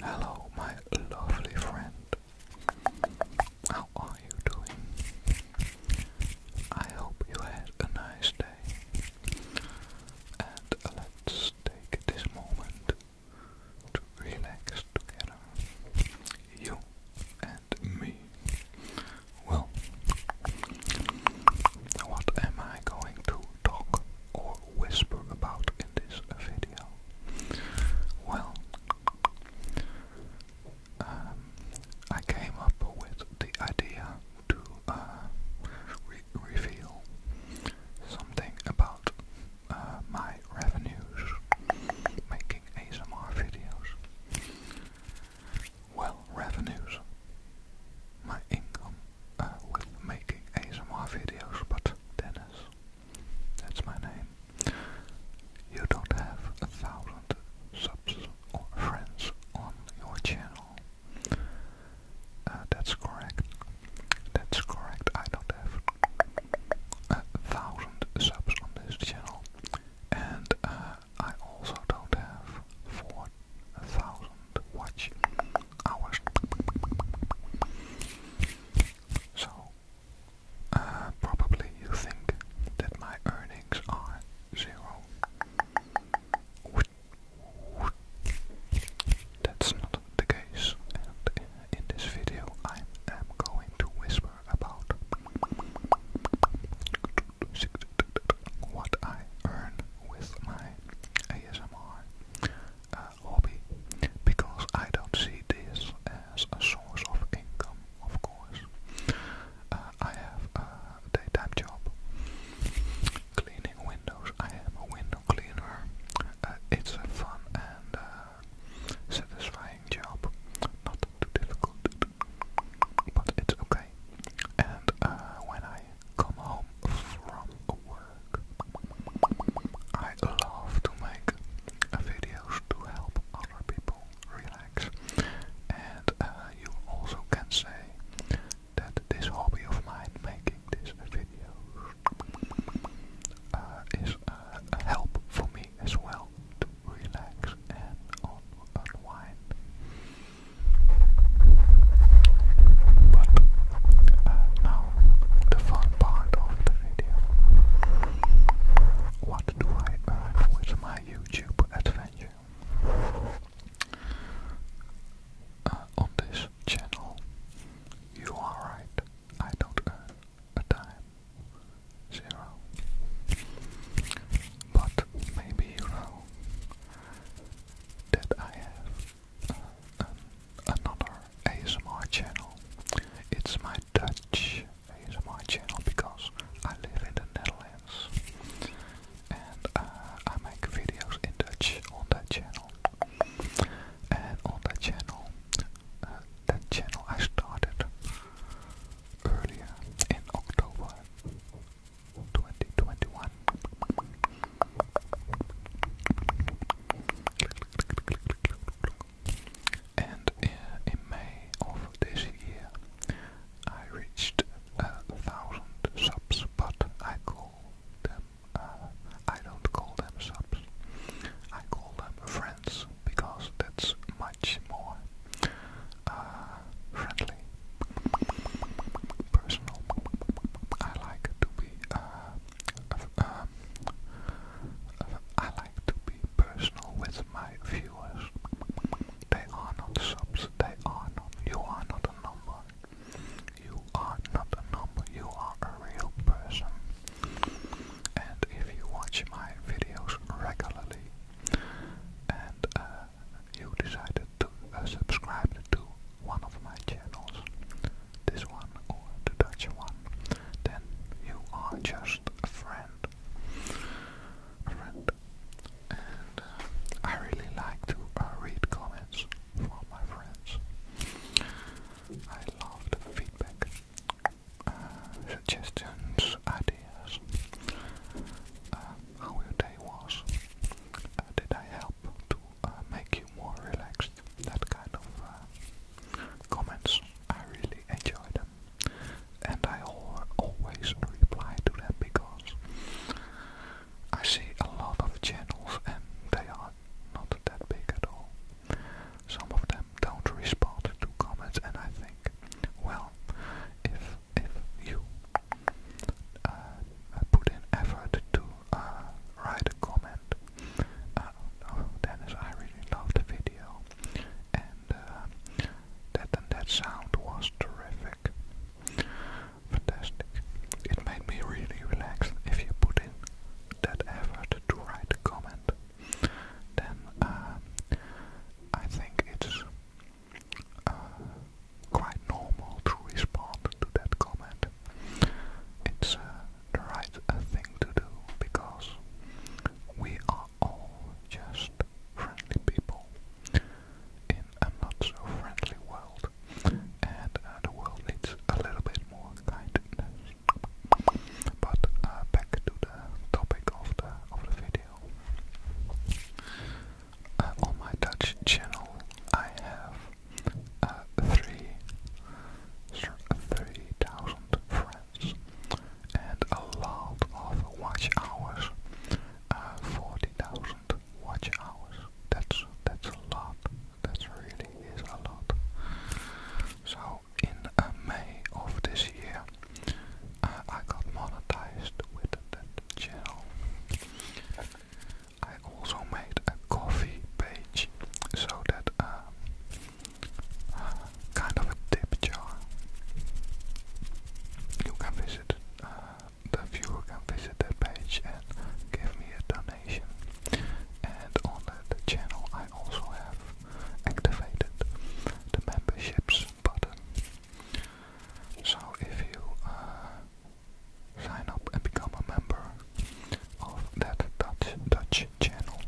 Hello, my lovely friend. How are you doing? I hope you had a nice day. And let's take this moment to relax together. You and me. Well, what am I going to talk or whisper about in this video? Well, um, I came up with the idea to uh, reveal something about uh, my revenues making ASMR videos. Well, revenues. My income uh, with making ASMR videos, but Dennis, that's my name, you don't have a thousand subs or friends on your channel. Uh, that's correct. That's correct. I don't have a thousand subs on this channel, and uh, I also don't have four thousand watch hours. So, uh, probably you think that my earnings are zero. That's not the case, and in this video I am going to whisper about what I earn with my ASMR uh, hobby because I don't see this as a source of income, of course. Uh, I have a daytime job cleaning windows. I am a window cleaner. Uh, it's a fun and uh, satisfying job. Not too difficult, but it's okay. And when I come home from work, I love to make videos to help other people relax, and uh, you also can say that this hobby of mine, making these videos, uh, is uh, a help for me as well to relax and unwind. But now the fun part of the what do I buy with my YouTube adventure? Uh, on this channel, you are right, I don't earn a dime. Zero. But maybe you know that I have another ASMR channel. It's my Dutch ASMR channel because I live in the Netherlands and uh, I make videos in Dutch on that channel. And on that channel, uh, that channel I started earlier in October 2021. And in May of this year, I reached uh, a thousand subs, but I call them, uh, I don't call them subs, I call them friends, because that's much more uh, friendly, personal. I like to be I like to be personal with my viewers. They are not subs, they are not, you are not a number. You are not a number, you are a real person. And if you watch my videos regularly and uh, you decided to uh, subscribe to one of my channels, this one or the Dutch one, then you are just a friend. A friend. And uh, I really like to uh, read comments from my friends. I love the feedback, uh, suggestions, ideas, how your day was, did I help to make you more relaxed, that kind of uh, comments. I really enjoy them, and I always reply to them because I see a lot of channels and they are not that big at all. Some of them don't respond to comments, and I think, well, if if you uh, put in effort to uh, write a comment, uh, oh, I really loved the video, and uh, that and that sound was terrific, fantastic. It made me really relaxed. If you put in that effort to write a comment, then uh, I think it's uh, quite normal to respond to that comment. It's the right thing to do because we are all just friendly people in a not so friendly world, and uh, the world needs a little bit more kindness. But uh, back to the topic of the of the video. Uh, on my Dutch channel, I have uh, three 30,000 friends and a lot of watch hours, uh, 40,000 watch hours. That's that's a lot. That really is a lot. So in uh, May of this year, uh, I got monetized with that channel. I also made a coffee page so that um, kind of a tip jar. You can visit uh, the viewer can visit that page and give me a donation. And on that channel, I also have activated the memberships button. So if you uh, sign up and become a member of that Dutch Twitch channel,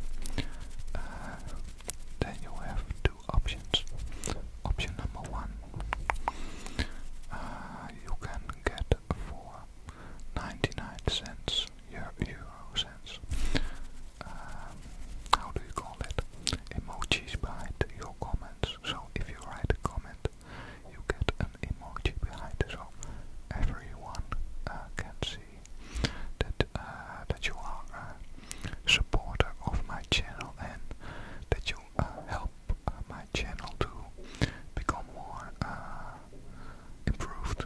uh, then you have two options. Option number one, uh, you can get for 99 cents, euro, cents, um, how do you call it? Emojis behind your comments. So if you write a comment, you get an emoji behind. So everyone uh, can see that uh, that you are supporter of my channel and that you uh, help uh, my channel to become more improved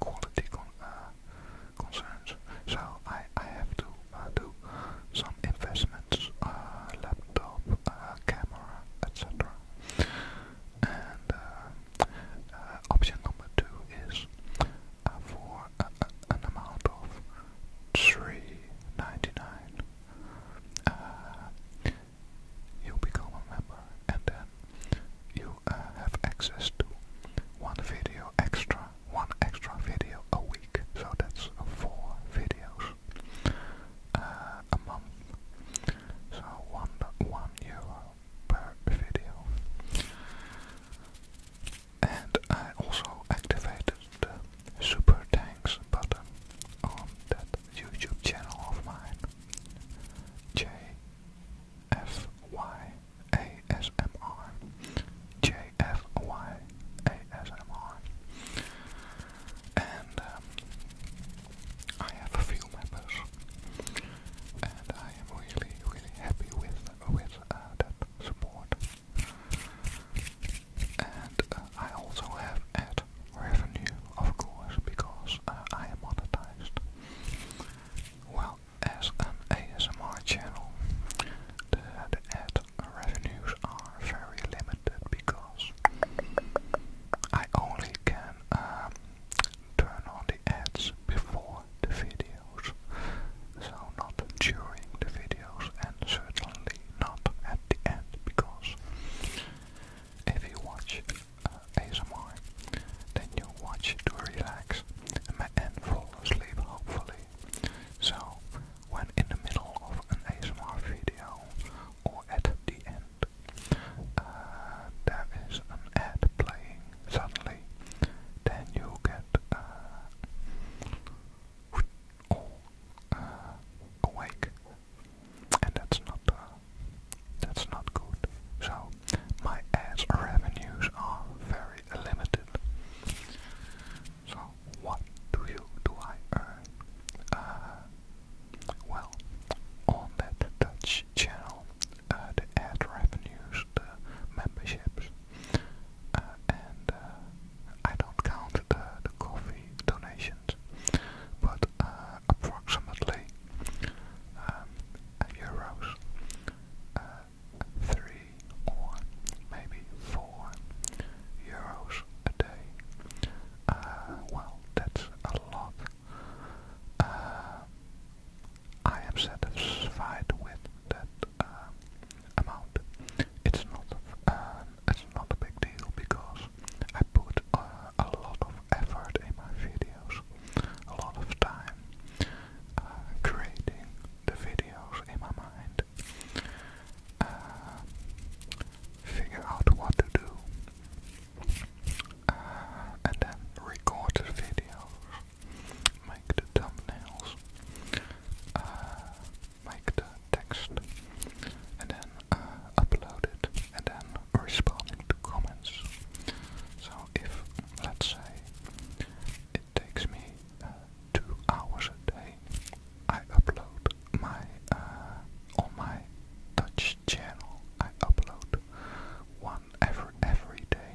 quality concerns. So I I have to do some investments, laptop, camera, etc. And uh, uh, option number two is uh, for an amount of three ninety nine. you become a member, and then you have access to one video extra, one extra video a week. So that's four videos a month. So one one euro video. And I also activated the Super tanks button on that YouTube channel of mine, J F Y A S M R, J F Y A S M R, and um, I have a few members and I am really, really happy with with uh, that support. And uh, I also have ad revenue, of course, because uh, I am monetized. Well, as an ASMR channel, the, ad revenues are very limited because I only can um, turn on the ads before the videos, so not during the videos and certainly not at the end because if you watch uh, ASMR then you watch to relax and fall asleep hopefully. So when in the middle of an ASMR video or at the end uh, there is an ad playing suddenly, then you get uh, oh, uh awake, and that's not uh, that's not good. So my ads revenues are very limited. So what do you do? I earn? Uh, well, on that Dutch channel, uh, the ad revenues, the memberships, uh, and uh, I don't count the, the coffee donations, but uh, approximately um, euros, uh, three or maybe four euros a day. Uh, well, that's a lot uh, I am satisfied with that uh, amount. It's not it's not a big deal because I put uh, a lot of effort in my videos, a lot of time creating the videos in my mind, figure out what to do, and then record the videos make the thumbnails, uh, make the text, and then uh, upload it, and then responding to comments. So if, let's say, it takes me uh, two hours a day, I upload my, on my Dutch channel, I upload 1 every every day.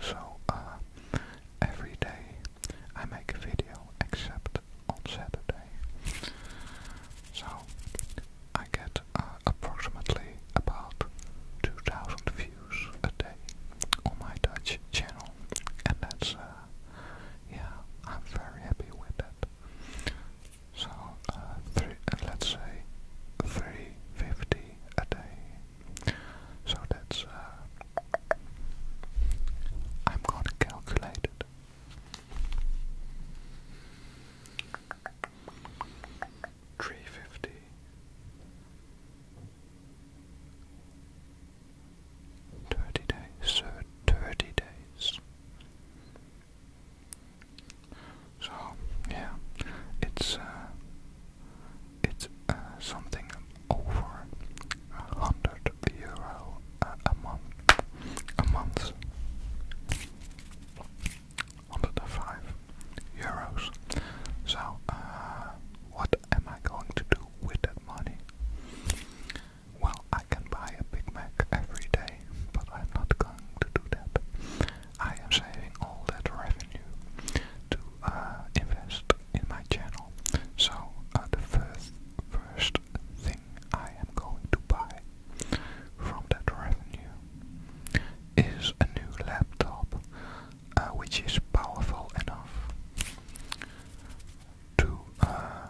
So uh, every day I make a video except on Saturday. So I get uh, approximately about 2,000 views a day on my Dutch channel, and that's uh, yeah, I'm very happy with that. So three, let's say 350 a day so that's, uh, I'm gonna calculate it. Three fifty thirty days, uh, thirty days. So yeah, it's uh, it's uh, something over a hundred euro uh, a, month. A month. 105 euros. So, uh, what am I going to do with that money? Well, I can buy a Big Mac every day, but I'm not going to do that. I am saving all that revenue to uh, invest in my channel. So uh, the first, first thing I am going to buy from that revenue is a new laptop, uh, which is powerful enough to uh,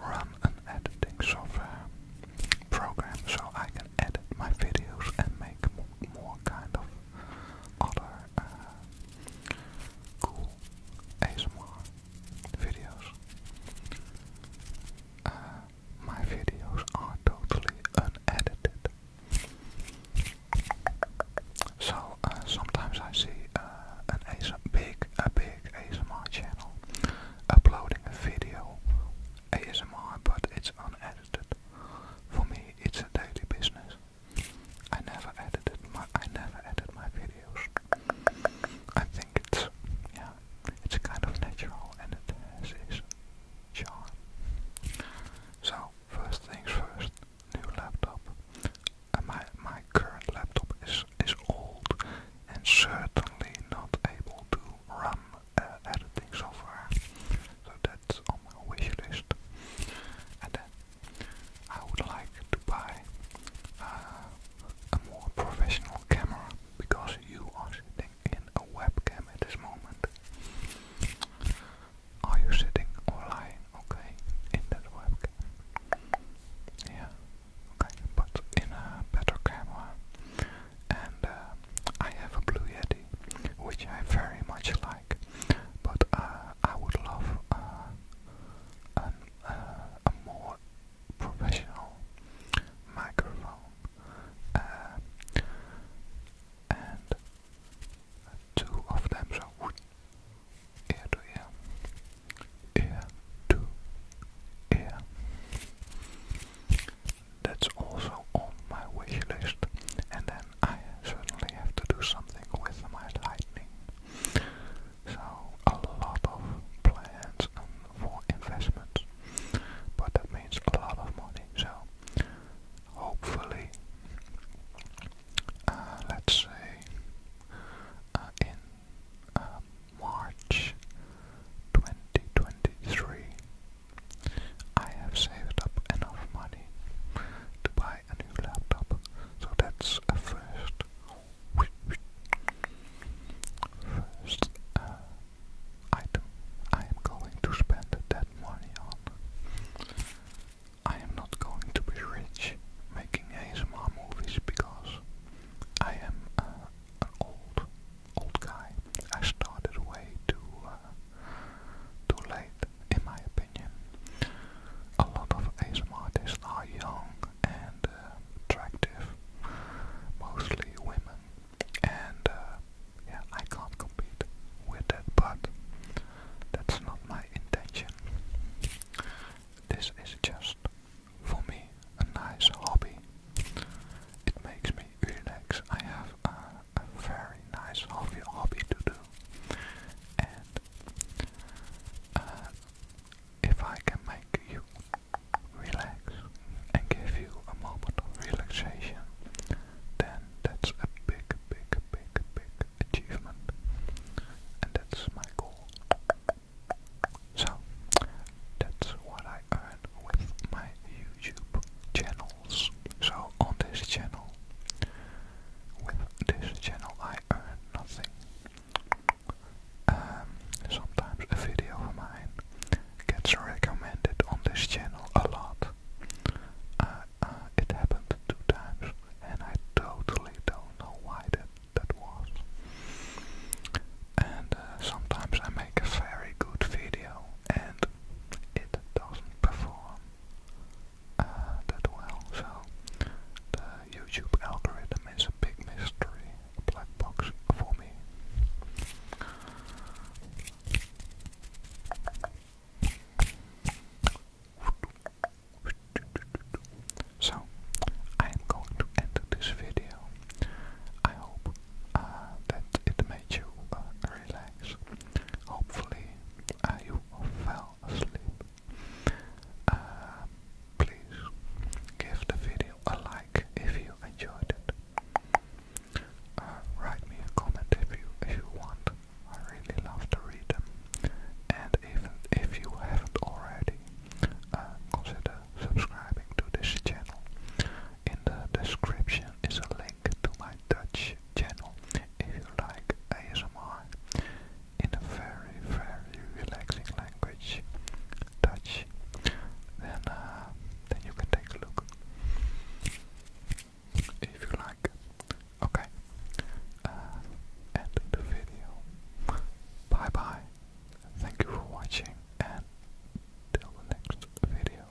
run an editing software program so I can edit my videos and make more kind of other eh, cool ASMR videos. Eh, my videos are totally unedited. So eh, sometimes I see uh, an big a big ASMR channel uploading a video ASMR, but it's unedited. For me, it's a daily business. I never edited my I never edit my videos. I think it's yeah, it's kind of natural and its charm. So first things first, new laptop. Uh, my my current laptop is is old and certainly not able to run uh, editing software so that's on my wish list. And then I would like to buy uh, a more professional camera because you are sitting in a webcam at this moment. Are you sitting or lying? Okay, in that webcam. Yeah, okay, but in a better camera. And uh, I have a Blue Yeti, which I very much like. But uh, I would love uh, uh, a more professional microphone and two of them so ear to ear, ear to ear. That's also on my wish list, and then I certainly have to do something with my lightning. So a lot of plans for investments, but that means a lot of money. So hopefully, uh, let's say uh, in uh, March 2023, I have saved up enough money to buy a new laptop, so that's a first. First uh, item I am going to spend that money on. I am not going to be rich making ASMR movies because I am uh, an old, old guy. I started way too uh, too late, in my opinion. A lot of ASMR artists are young and uh, attractive, mostly women, and uh, yeah, I can't compete with that, but that's not my intention. This is just, for me, a nice hobby. It makes me relax. I have a, very nice hobby to do and uh, if I can make you relax and give you a moment of relaxation, then that's a big, big, big, big achievement, and that's my goal. So that's what I earn with my YouTube channels. So on this channel, with this channel I earn nothing. Um, sometimes a video of mine gets recommended on this channel a lot. Uh, uh, it happened two times and I totally don't know why that, that was. And uh, sometimes I make a very good video and it doesn't perform that well. So the YouTube algorithm is a big mystery, black box for me. So, I am going to end this video. I hope uh, that it made you uh, relax. Hopefully, uh, you felt uh, please give the video a like if you enjoyed it. Uh, write me a comment if you if you want. I really love to read them. And even if you haven't already, uh, consider subscribing to this channel. In the description is a link to my Dutch channel if you like ASMR in a very, very relaxing language, Dutch. Then, uh, then you can take a look if you like. Okay, uh, end the video. Bye bye. Thank you for watching, and till the next video.